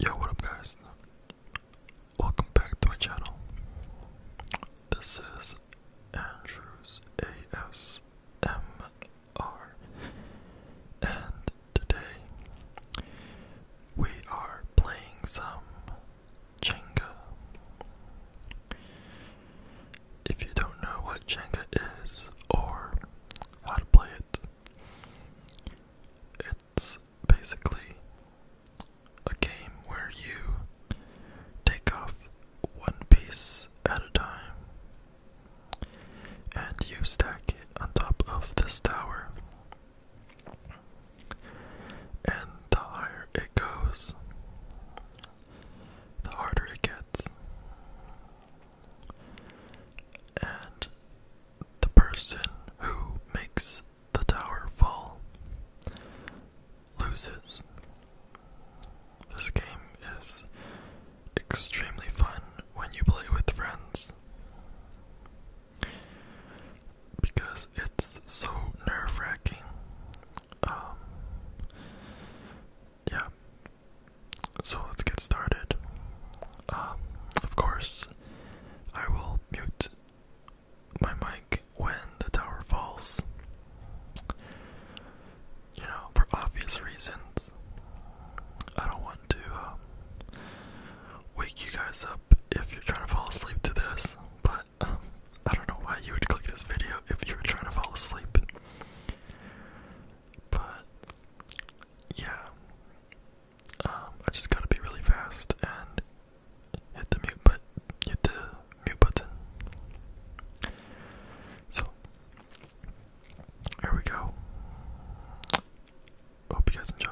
Yo, what up, guys? Welcome back to my channel. This is Andrews ASMR, and today we are playing some Jenga. If you don't know what Jenga is or how to play it, it's basically a game where you take off one piece at a time and you stack it on top of this tower. And the higher it goes, the harder it gets and the person who makes the tower fall loses. This game is extremely fun when you play with friends because it's so nerve wracking. Um, yeah, so let's get started. Um, of course, I will mute my mic when the tower falls. You know, for obvious reasons. I don't want to um, wake you guys up if you're trying to fall asleep to this, but um, I don't know why you would click this video if you were trying to fall asleep. But yeah, um, I just gotta be really fast and hit the mute button. So here we go. Hope you guys enjoy.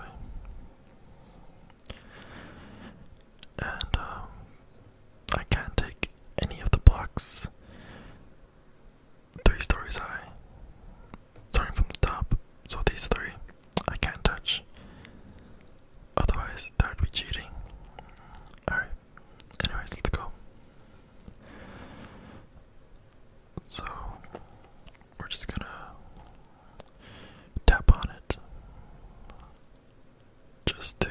And um, I can't take any of the blocks three stories high. Starting from the top, so these three I can't touch. Otherwise, that would be cheating. Alright, anyways, let's go. So, we're just gonna tap on it just to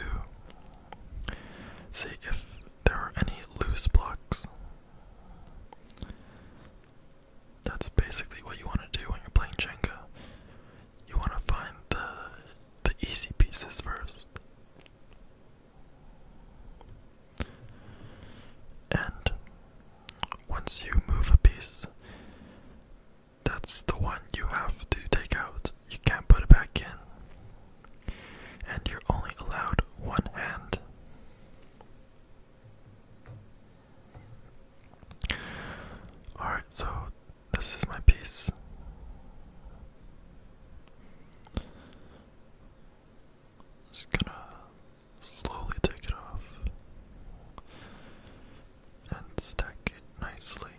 see if there are any loose blocks that's basically what you want to do when you're playing Jenga. You want to find the the easy pieces first. And once you move a piece, that's the one you have to take out. You can't put it back in and you're only allowed one hand. Alright, so this is my piece. Just gonna slowly take it off and stack it nicely.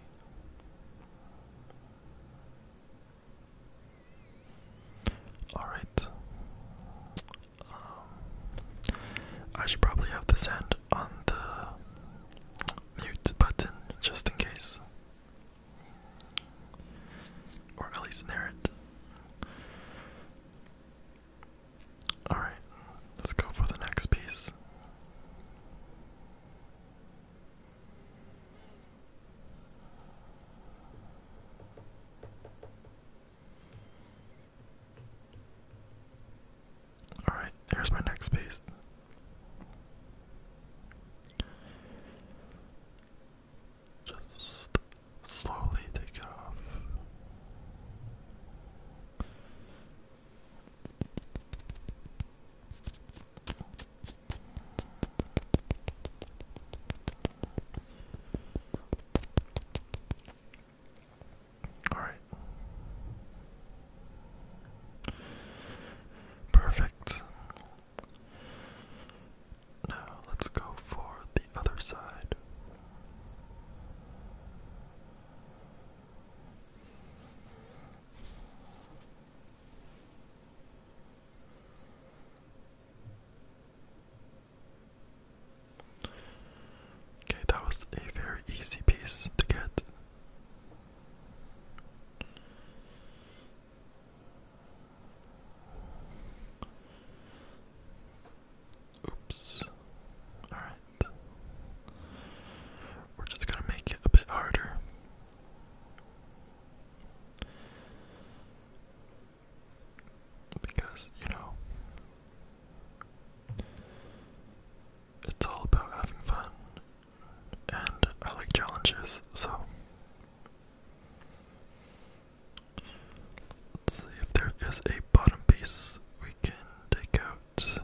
Alright. Um, I should probably have this end on the mute button just in case. Or at least near it. Alright, let's go for the next piece. Alright, there's my next piece. Just slowly take it off. All right. Perfect. Now let's go for the other side. Okay, that was a very easy piece to get. Oops. Alright. We're just going to make it a bit harder. Because, you know, it's all about having fun, and I like challenges, so. see if there is a bottom piece we can take out.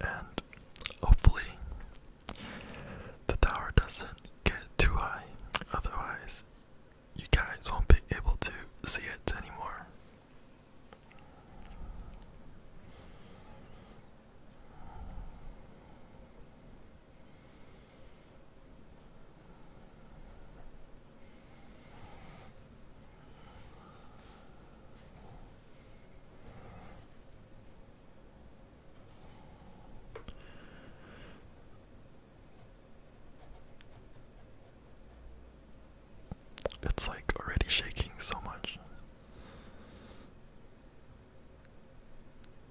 And hopefully, the tower doesn't get too high, otherwise, you guys won't be able to see it anymore. It's like already shaking so much.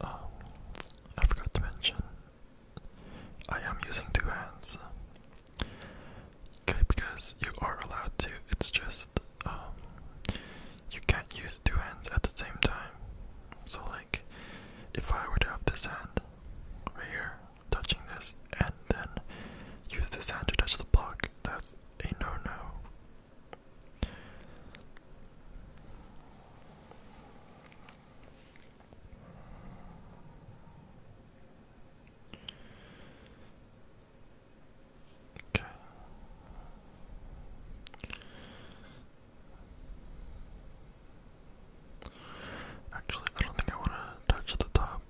Um, I forgot to mention, I am using two hands. Okay, because you are allowed to, it's just, um, you can't use two hands at the same time. So, like, if I were have this hand right here touching this, and then use this hand to touch the block, that's a no no. Okay. Actually, I don't think I want to touch the top.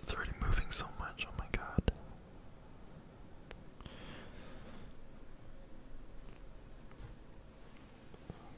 It's already moving so much, oh my god.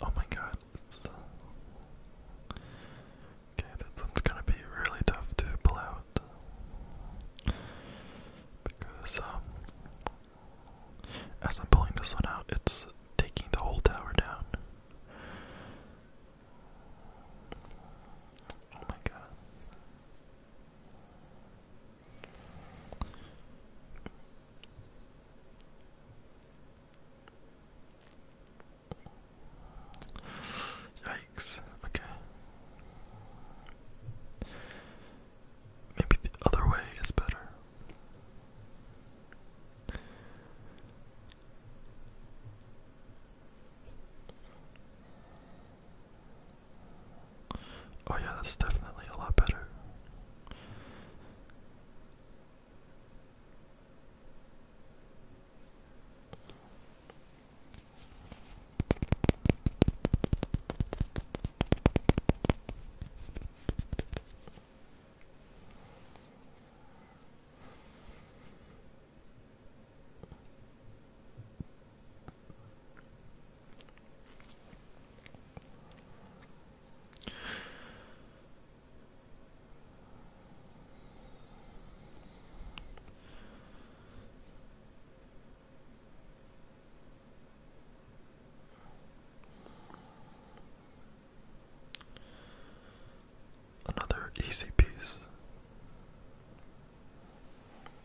Oh my god. okay, this one's gonna be really tough to pull out. Because, um, as I'm pulling this one out, it's taking the whole tower down. Oh my god. Yikes, okay. Maybe the other way is better. Oh, yeah, that's definitely a lot better. Another easy piece.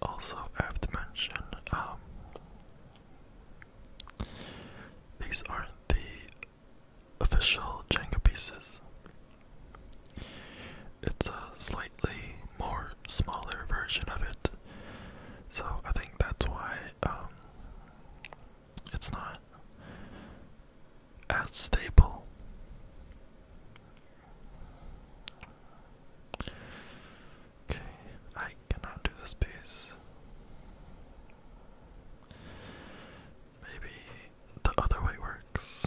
Also, I have to mention um, these aren't the official Jenga pieces. It's a slightly more smaller version of it, so I think that's why um, it's not as stable. Okay, I cannot do this base. Maybe the other way works.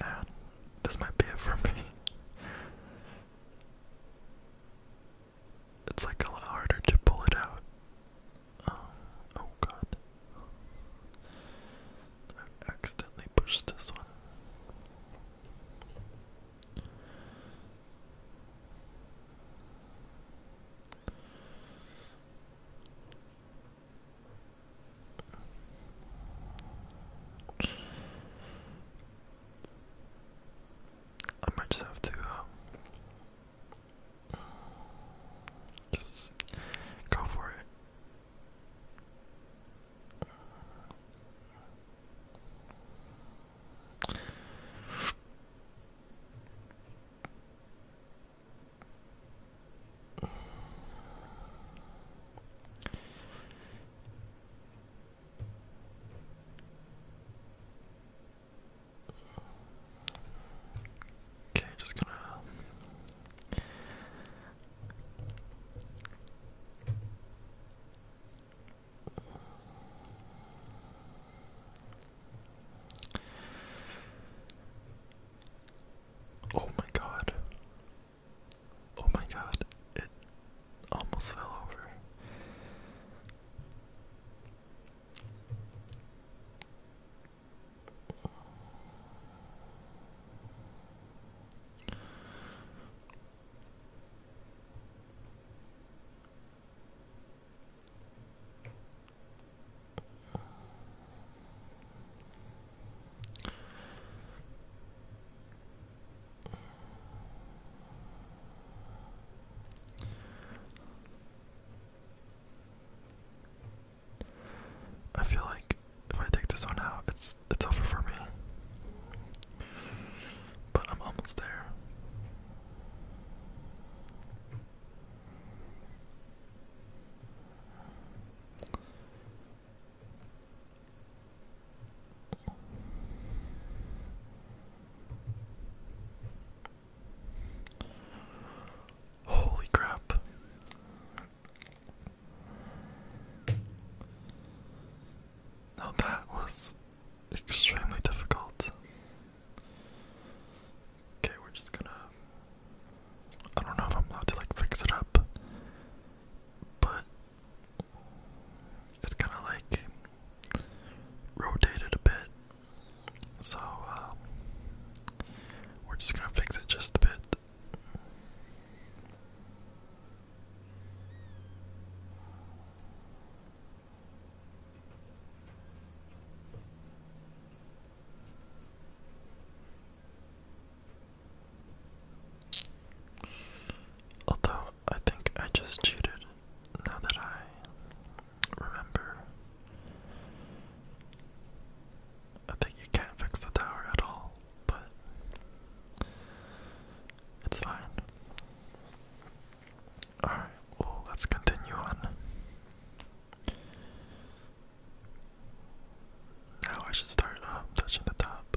Man, this might be it for me. It's like a lot harder to pull it out. Um, oh god. I accidentally pushed this one. I might just have to um, just go for it. Okay, just gonna Oh my god. Oh my god. It almost fell over. I feel like if I take this one out, it's it's over for me but I'm almost there. Holy crap. Now that was extremely difficult. Okay, we're just gonna. I don't know if I'm allowed to like fix it up, but it's kind of like rotated a bit. So um, we're just gonna fix it just a bit. Although I think I just cheated now that I remember. I think you can't fix the tower at all, but it's fine. Alright, well, let's continue on. Now I should start um, touching the top.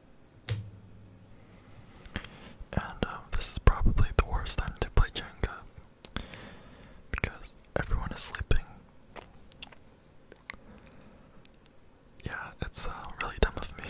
And um, this is probably the worst time to play Jenga because everyone is sleeping. Yeah, it's uh, really dumb of me.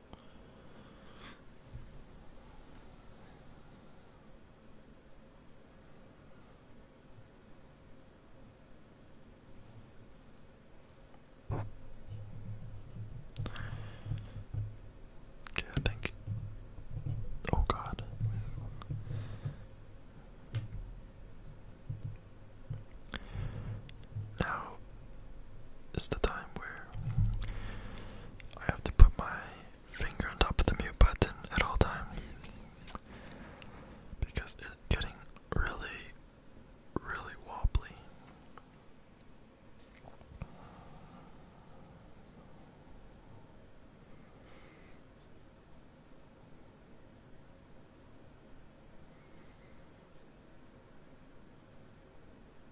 Okay, I think. Oh God. Now it's the time where I have to put my finger on top of the mute button at all times because it's getting really, really wobbly.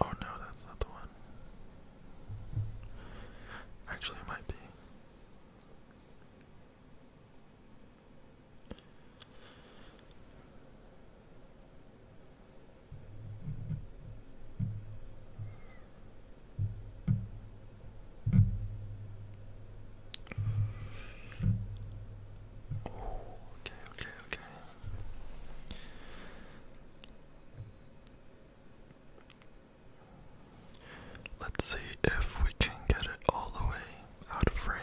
Oh no, that's not the one. Actually, it might be. Oh, okay, okay, okay. Let's see if we can get it all the way out of frame.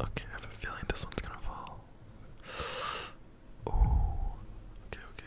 Okay, I have a feeling this one's gonna fall. Oh, okay, okay.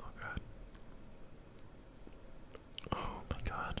Oh god. Oh my god.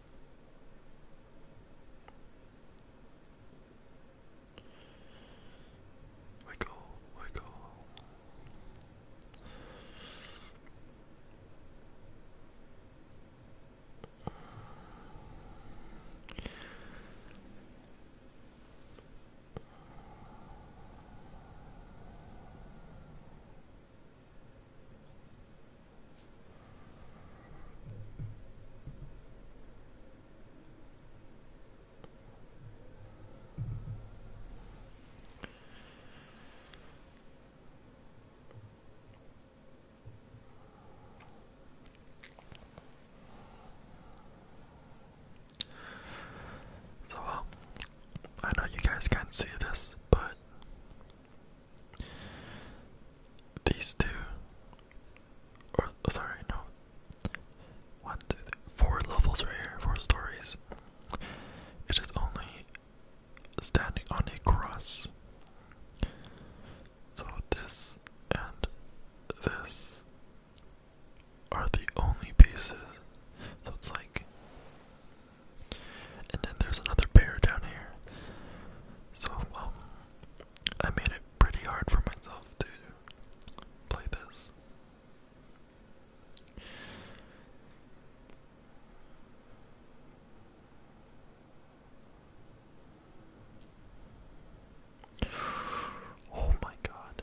Wiggle, wiggle. So, I know you guys can see this, but these two, or oh, sorry, no, one, two, three, four levels right here, four stories. It is only standing on a cross. So this and this are the only pieces. So it's like, and then there's another pair down here. So um, I made it pretty hard for myself to play this. Oh, my God.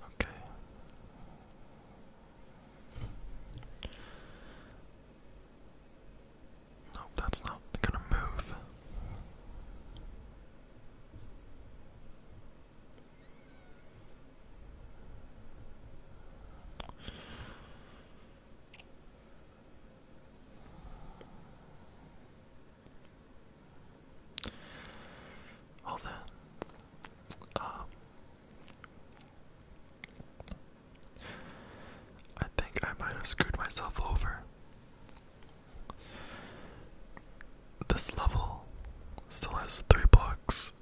Okay. No, that's not gonna move. Well then, um, I think I might have screwed myself over this level still has three blocks,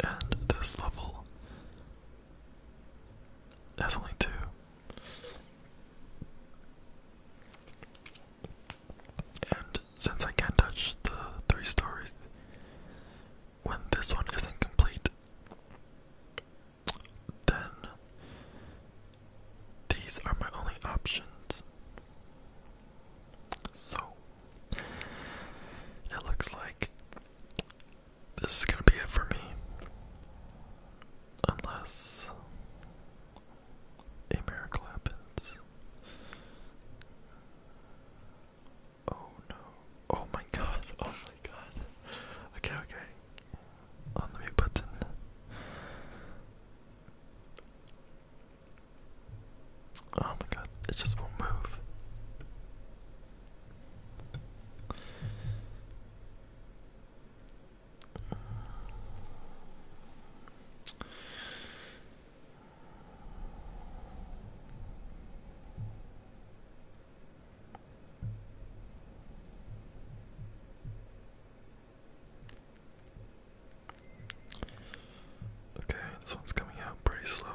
and this level has only two. And since I can't touch the three stories, when this one isn't complete, then these are my only options. So, it looks like this is gonna be it for me. Unless a miracle happens. Oh no. Oh my god. Oh my god. Okay, okay. On the mute button. Oh my god, it just won't move. Okay, this one's coming out pretty slow.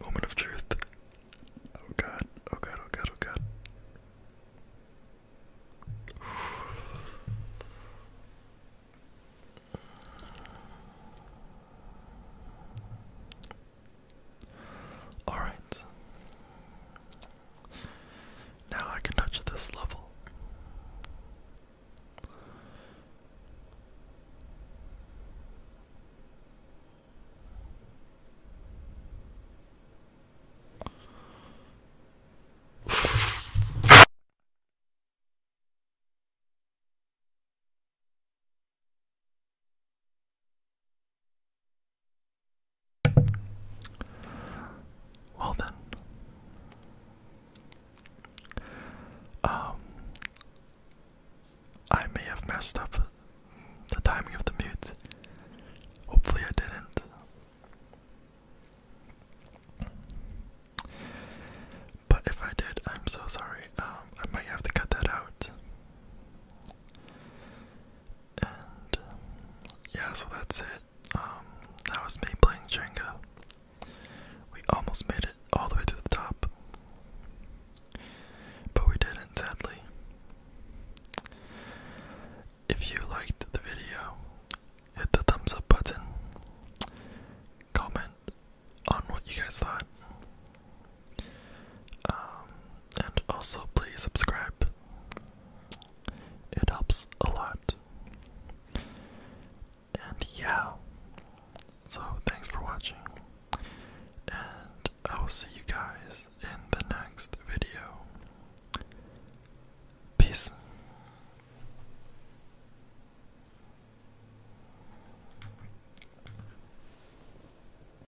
Moment of truth. Oh god, oh god, oh god, oh god. Alright. Now I can touch this level. Well then, um, I may have messed up the timing of the mute. Hopefully, I didn't. But if I did, I'm so sorry. Um, I might have to cut that out. Um, yeah, so that's it. Um, that was me playing Jenga. We almost made it all the way to the top, but we didn't, sadly. If you liked the video, hit the thumbs up button, comment on what you guys thought, um, and also, please subscribe, it helps a lot. And yeah, so thanks for watching, and I will see you guys in the next video. Peace.